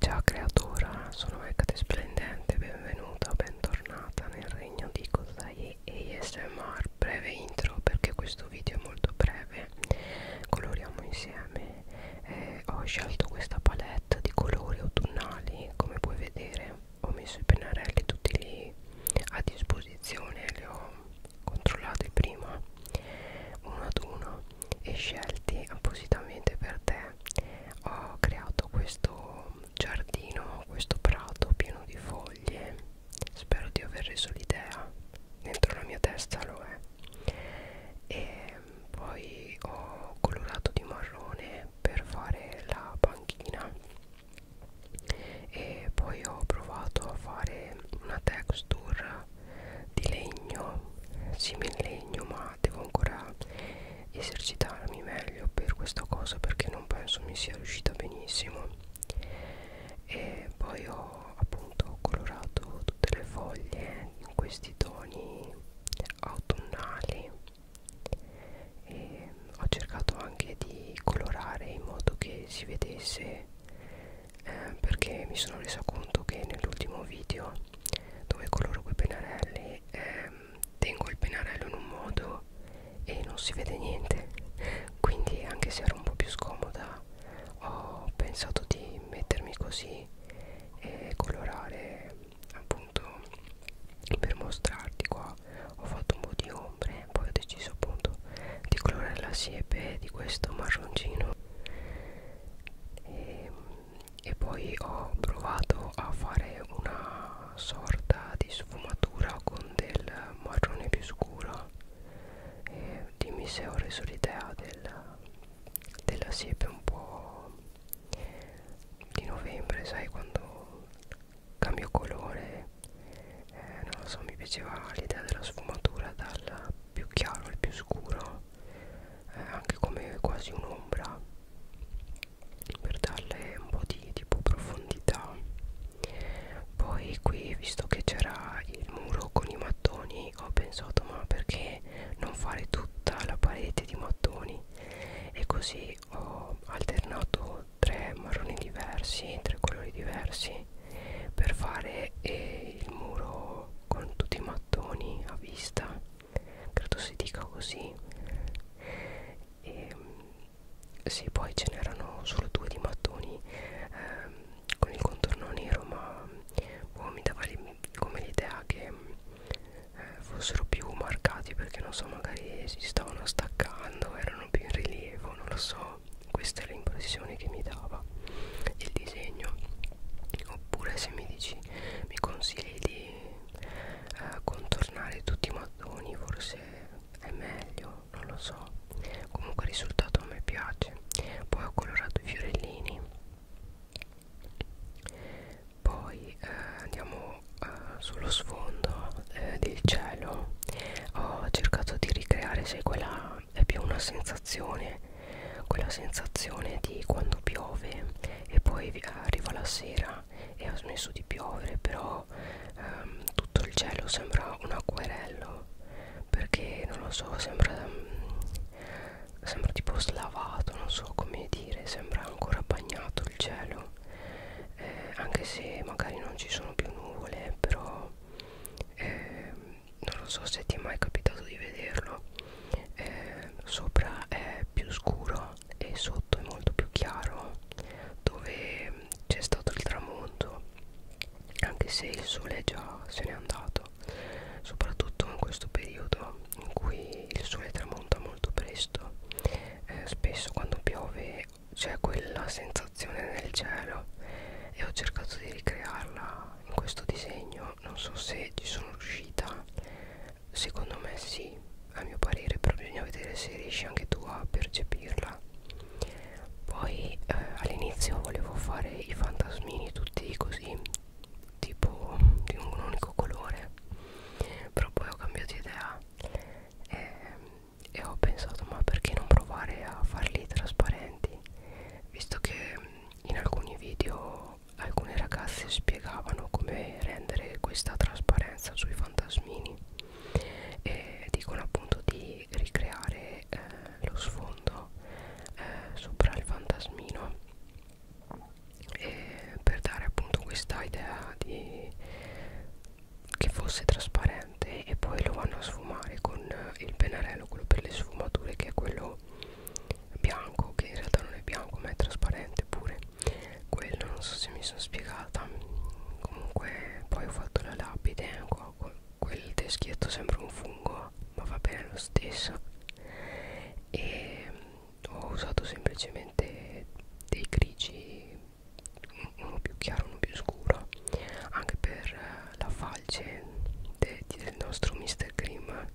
Ciao creatura, sono Hecate Splendente, benvenuta, bentornata nel regno di Kozai ASMR Breve intro perché questo video è molto breve Coloriamo insieme eh, Ho scelto questa palette di colori autunnali Come puoi vedere ho messo i pennarelli tutti lì a disposizione Li ho controllati prima uno ad uno e scelti appositamente per te ho creato questo giardino questo prato pieno di foglie spero di aver reso l'idea dentro la mia testa lo è e poi ho colorato di marrone per fare la panchina e poi ho provato a fare una texture di legno similegno ma devo ancora esercitarmi meglio per questa cosa perché non penso mi sia riuscita benissimo e poi ho appunto colorato tutte le foglie in questi toni autunnali e ho cercato anche di colorare in modo che si vedesse eh, perché mi sono resa conto che nell'ultimo video dove coloro quei pennarelli ehm, tengo il pennarello in un modo e non si vede niente quindi anche se era un po' più scomoda ho pensato di mettermi così e colorare appunto per mostrarti qua ho fatto un po' di ombre poi ho deciso appunto di colore la siepe di questo marroncino e, e poi ho provato a fare una sorta di sfumatura con del marrone più scuro e dimmi se ho reso l'idea della, della siepe un po' di novembre sai quando cambio colore eh, non lo so mi piaceva l'idea della sfumatura dal più chiaro al più scuro eh, anche come quasi un'ombra per darle un po' di tipo profondità poi qui visto che c'era il muro con i mattoni ho pensato ma perché non fare tutta la parete di mattoni e così ho alternato tre marroni diversi tre colori diversi per fare eh, il muro con tutti i mattoni a vista credo si dica così e ehm, sì poi ce n'erano solo due di mattoni ehm, con il contorno nero ma boh, mi dava come l'idea che eh, fossero più marcati perché non so magari si stavano staccando erano erano più in rilievo non lo so questa è l'impressione che mi dava il disegno oppure se mi dici mi consigli di eh, contornare tutti i mattoni forse è meglio non lo so comunque il risultato a me piace poi ho colorato i fiorellini poi eh, andiamo sono uh, eh, sullo sfondo eh, del cielo ho cercato di ricreare se quella è più una sensazione quella sensazione di quando piove e poi arriva la sera e ha smesso di piovere però um, tutto il cielo sembra un acquerello perché non lo so sembra ehm, sembra tipo slavato non so come dire sembra ancora bagnato il cielo bello eh, anche se magari non ci sono più nuvole però eh, non lo so se ti è mai capitato di vederlo eh, sopra è più scuro e sotto è molto più chiaro dove mm, c'è stato il tramonto anche se il sole già se n'è andato soprattutto in questo periodo in cui il sole tramonta molto presto eh, spesso quando piove c'è quella sensazione nel cielo e ho cercato di ricrearla in questo disegno non so se ci sono riuscita secondo me sì a mio parere però bisogna vedere se riesci anche tu a percepirla poi eh, all'inizio volevo fare i fantasmini tutti così tipo di un unico colore però poi ho cambiato idea e, e ho pensato ma perché non provare a farli trasparenti visto che in alcuni video alcune ragazze spiegavano come rendere questa trasparenza sui fantasmini e dicono appunto di ricreare eh, lo sfondo eh, sopra il fantasmino e per dare appunto questa idea di, che fosse trasparente e poi lo vanno a sfumare con eh, il pennarello quello per le sfumature che è quello bianco che in realtà non è bianco ma è trasparente pure quello non so se mi sono spiegata comunque poi ho fatto la lapide eh, qua, quel teschietto sembra un fungo ma va bene lo stesso e mm, ho usato semplicemente dei grigi uno più chiaro uno più scuro anche per eh, la falce de, de, del nostro Mr. Cream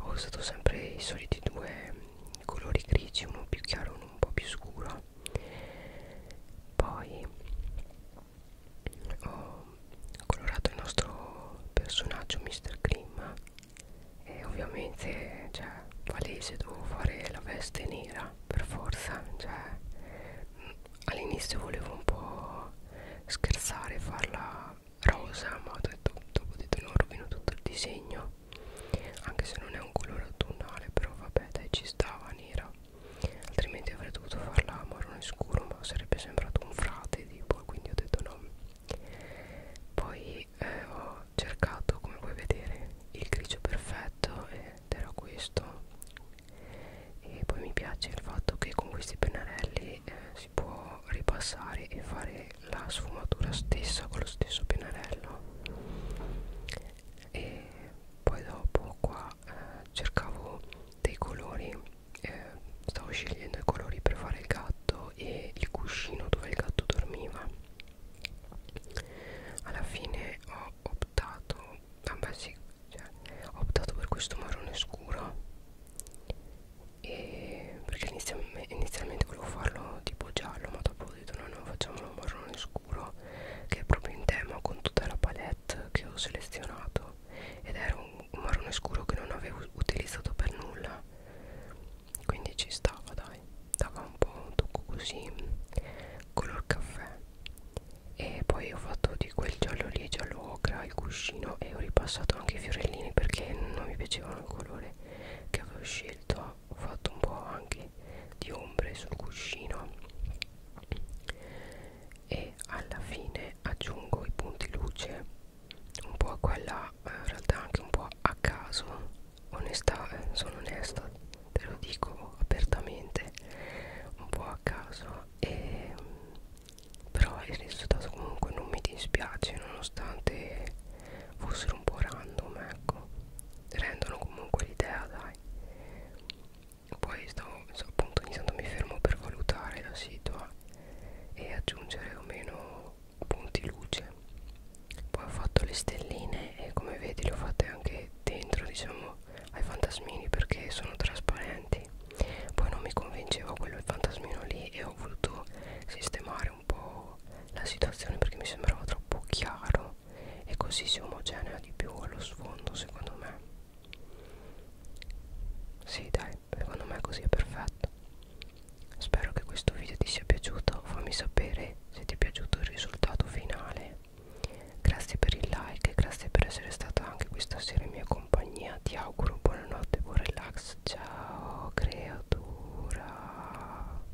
ho usato sempre i soliti due mm, colori grigi uno più chiaro uno un po' più scuro poi ho colorato il nostro personaggio Mr. Grimm e ovviamente cioè palese dovevo fare la veste nera per forza cioè mm, all'inizio volevo un po' scherzare farla rosa ma ho detto, dopo ho detto no rovino tutto il disegno anche se non è un colore autunnale però vabbè dai ci stava nera altrimenti avrei dovuto farla marrone scuro ma sarebbe sembrato un frate tipo quindi ho detto no poi eh, ho cercato come puoi vedere il grigio perfetto ed era questo e poi mi piace il fatto che con questi pennarelli eh, si può ripassare e fare la sfumatura stessa con lo stesso pennarello e poi dopo qua eh, cercavo dei colori eh, stavo scegliendo i colori per fare il gatto e il cuscino dove il gatto dormiva alla fine ho optato vabbè sì cioè, ho optato per questo marrone scuro e perché inizialmente, inizialmente volevo farlo tipo giallo ma dopo ho detto no no facciamolo marrone scuro che è proprio in tema con tutta la palette che ho selezionato ed era un marrone scuro che non avevo utilizzato per nulla quindi ci stava dai dava un po' un tocco così color caffè e poi ho fatto di quel giallo lì giallo ocra il cuscino e ho ripassato anche i fiorellini perché non mi piacevano il colore che avevo scelto ho fatto un po' anche di ombre sul cuscino e alla fine aggiungo i punti luce un po' a quella eh, in realtà anche un po' a caso onestà eh, sono onesta te lo dico apertamente un po' a caso e, mm, però il risultato comunque non mi dispiace nonostante fossero un po' random ecco rendono comunque l'idea dai poi stavo, appunto ogni tanto mi fermo per valutare la situa e aggiungere o meno punti luce poi ho fatto le stelline e come vedi le ho fatte anche dentro diciamo ai fantasmini perché sono trasparenti poi non mi convinceva quello il fantasmino lì e ho voluto sistemare un po' la situazione perché mi sembrava troppo chiaro bianco e così si omogenea di più allo sfondo secondo me sì dai secondo me così è perfetto spero che questo video ti sia piaciuto fammi sapere se ti è piaciuto il risultato finale grazie per il like e grazie per essere stato anche questa sera in mia compagnia ti auguro buonanotte buon relax ciao creatura